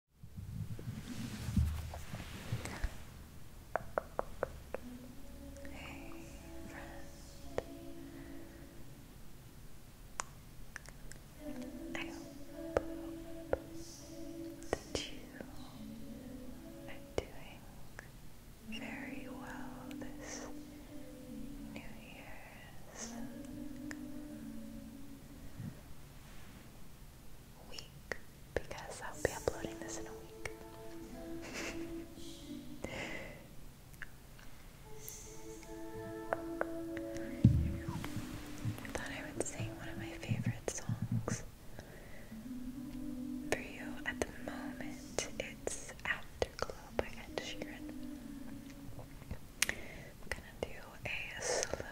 Hey friend, I hope that you are doing very well this New Year's week because I'll be uploading this in a week. I thought I would sing one of my favorite songs for you at the moment. It's Afterglow by Ed Sheeran. I'm gonna do a slow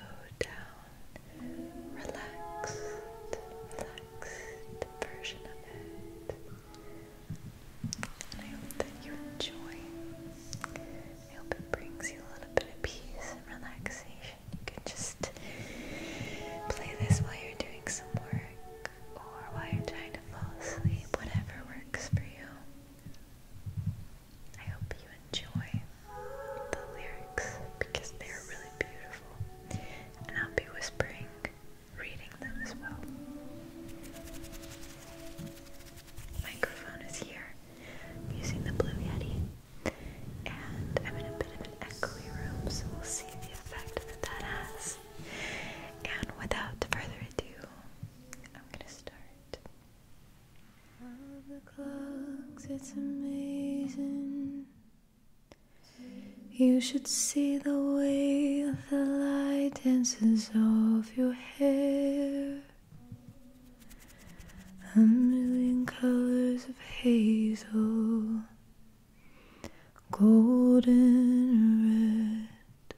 down, relax, relaxed version of it. And I hope that you enjoy. I hope it brings you a little bit of peace and relaxation. You can just play this while you're doing some work or while you're trying to fall asleep, whatever works for you. I hope you enjoy the lyrics because they are really beautiful, and I'll be whispering, reading them as well. Microphone is here I'm using the Blue Yeti, and I'm in a bit of an echoey room, so we'll see the effect that that has. And without further ado, I'm gonna start. Of the clocks, it's amazing. You should see the way the light dances off your hair. A million colors of hazel, golden red.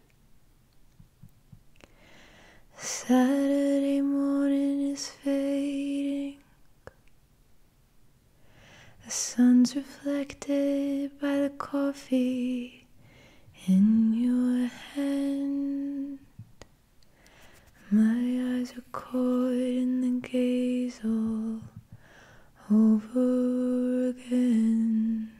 Saturday morning is fading. The sun's reflected by the coffee in your hand. My eyes are caught in the gaze all over again.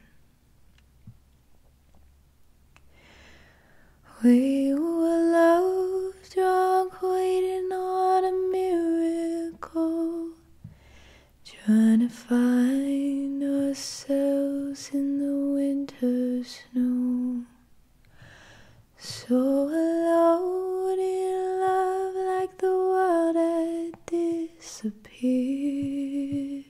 We were love drunk, waiting on a miracle, trying to find ourselves in the winter snow. So alone in love, like the world had disappeared.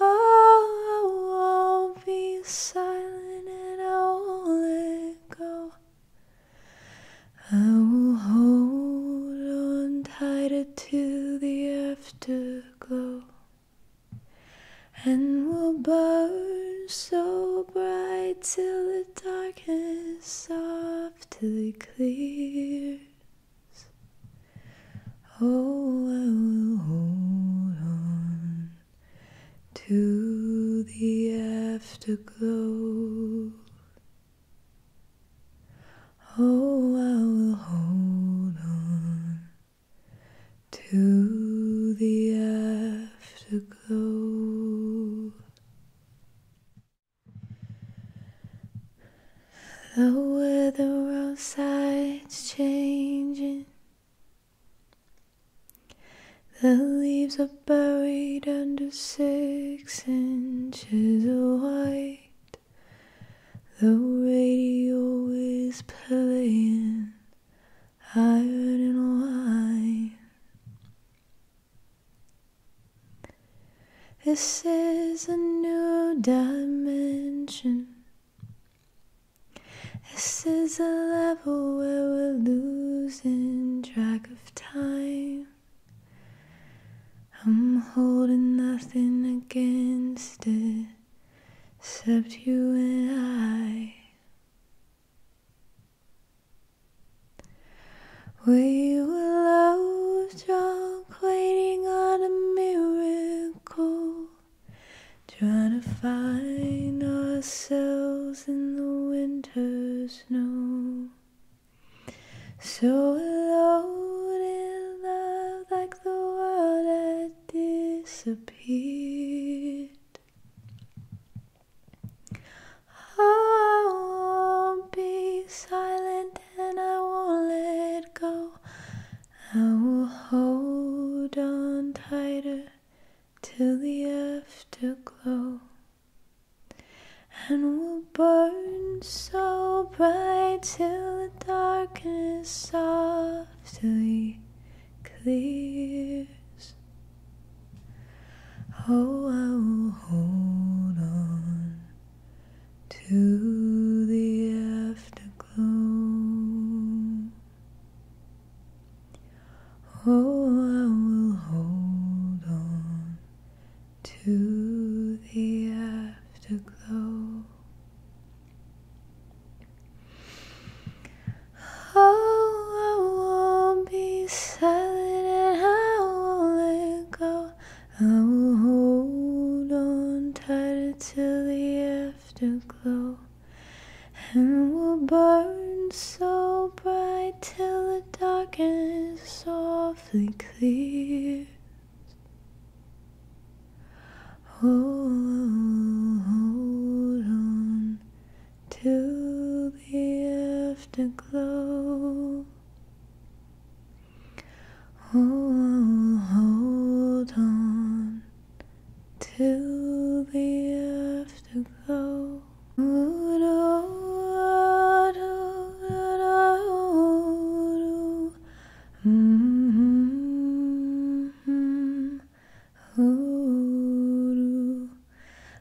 Oh, I won't be silent and I won't let go. I will hold on tighter to the afterglow and will burn so bright till the darkness softly clears. Oh, I oh, will hold on to the afterglow. Oh, I will hold on to the afterglow. The weather outside's changing. The leaves are buried under six inches of white. The radio is playing iron and wine. This is a new dimension. This is a level where we're losing track of time. I'm holding nothing against it except you and I. We were lost, drunk, waiting on a miracle, trying to find ourselves in the winter snow. So alone in love, like the world had disappeared. Oh, I won't be silent and I won't let go. I will hold on tighter till the afterglow, and we'll burn so bright till the darkness softly clears. Oh, I will hold on to the afterglow. Oh, I will hold on to the afterglow. Oh, I won't be silent and I won't let go. I will hold on tighter till the afterglow, and will burn so bright till the darkness softly clears. Oh, hold on till the afterglow. Oh, hold on till the afterglow.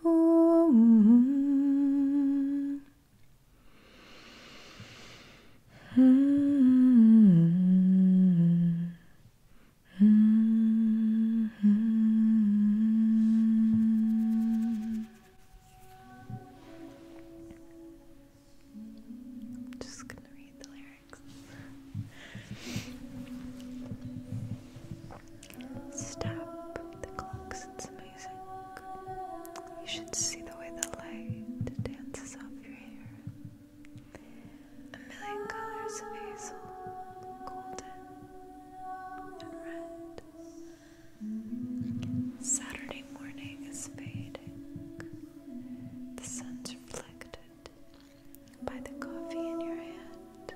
just gonna read the lyrics stop the clocks, it's amazing. You should see the way the light dances off your hair. A million colors of hazel, golden, and red. Saturday morning is fading. The sun's reflected by the coffee in your hand.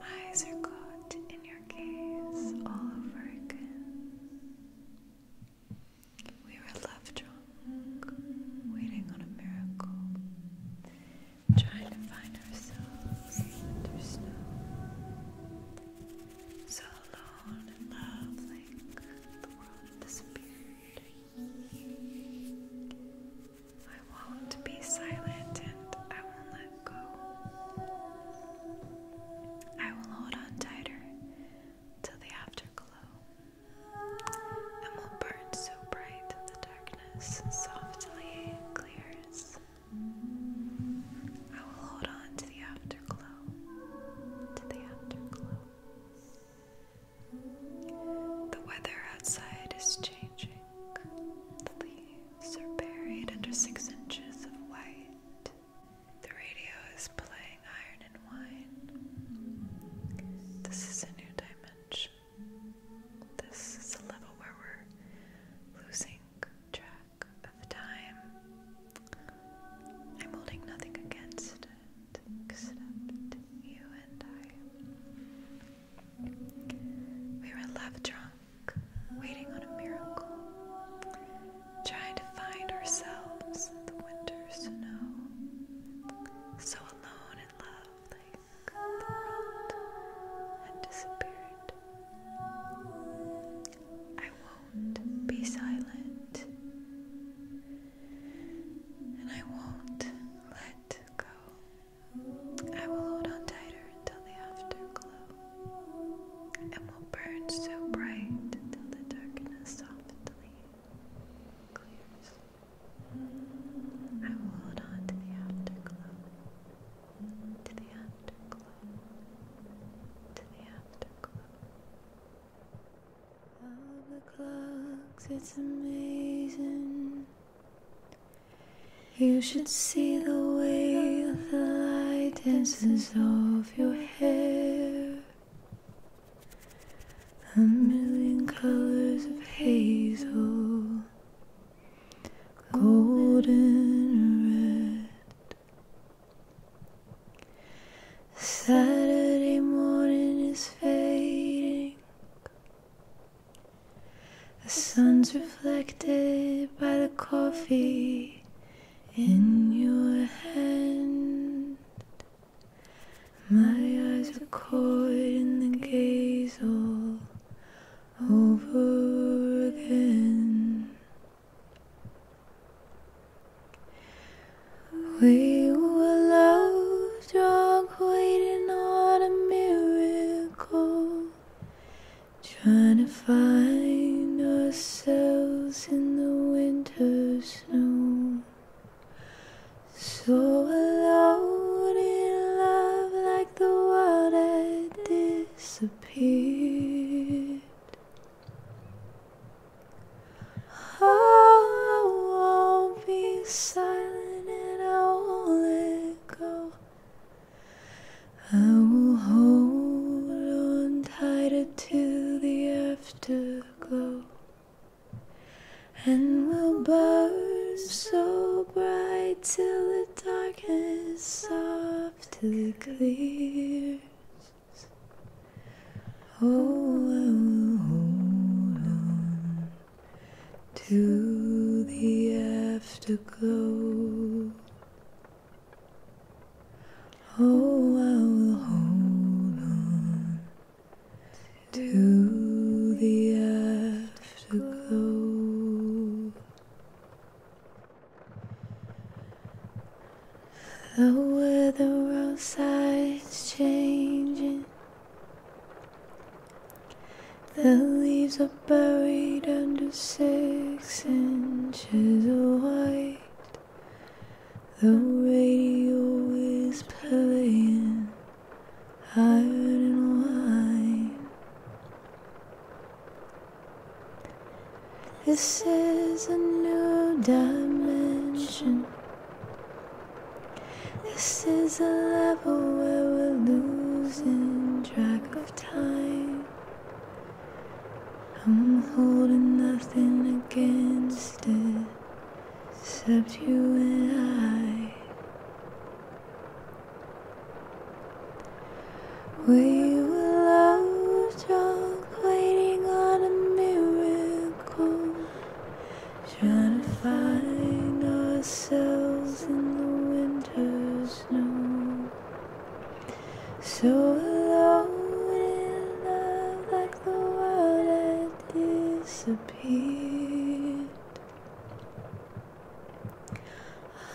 My eyes are caught in your gaze all over again. We were left drunk, waiting on a miracle, trying to find ourselves So alone and love, the world disappeared. I won't be silent and I won't let go. I will hold on tighter till the afterglow and will burn so bright the darkness softly clears. I will hold on to the afterglow, to the afterglow. The weather outside is changing. The leaves are buried under six inches of white. The radio is playing Iron and Wine. This is a new dimension. This is a level where we're losing track of time. I'm holding nothing against except you and I. We were left drunk, waiting on a miracle, trying to find ourselves the winter snow, so alone in love, like the world had disappeared. I won't be silent, and I won't let go. I will hold on tighter until the afterglow, and will burn so bright until the darkness softly clears. I will hold on to the afterglow, to the afterglow, to the afterglow. Of the clocks, it's amazing you should see the way the light dances off your hair. A million colors of hazel, golden red. Saturday morning is fading. The sun's reflected by the coffee in your hand. My eyes are caught in the gaze over again. We were lost, drunk, waiting on a miracle, trying to find ourselves in the winter snow. So alone in love, like the world had disappeared. I won't be silent and I won't let go. I will hold on tighter to the afterglow. And we'll burn so bright till the darkness softly clears. Oh, I will hold on to the afterglow. Oh, I will hold on to the afterglow. The weather outside's changing. The leaves are buried under six inches of white. The radio is playing iron and wine. This is a new dimension. This is a level where we're losing track of time. I'm holding nothing against it except you and I. We were love drunk, waiting on a miracle. Trying to find ourselves in the winter snow. So alone in love, like the world had disappeared.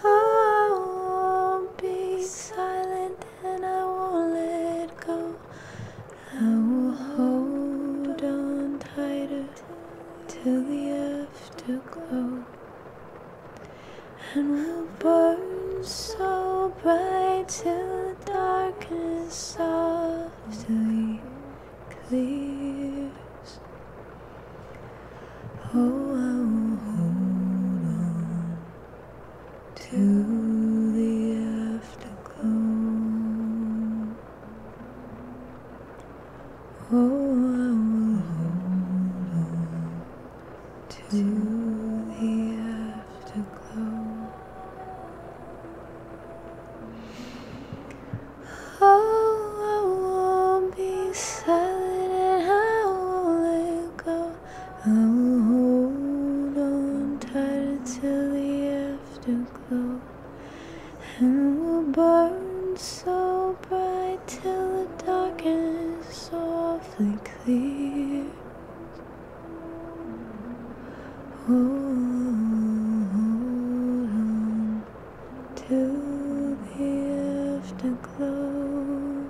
I won't be silent and I won't let go. I will hold on tighter till the afterglow, and we'll burn so bright till the darkness softly clears. Oh, I will hold on to the afterglow. Oh, I will hold on to the afterglow. Oh, I won't be silent and I won't let go. I will hold on tight till the afterglow, and will burn so bright till the darkness softly clears. Hold on till the afterglow.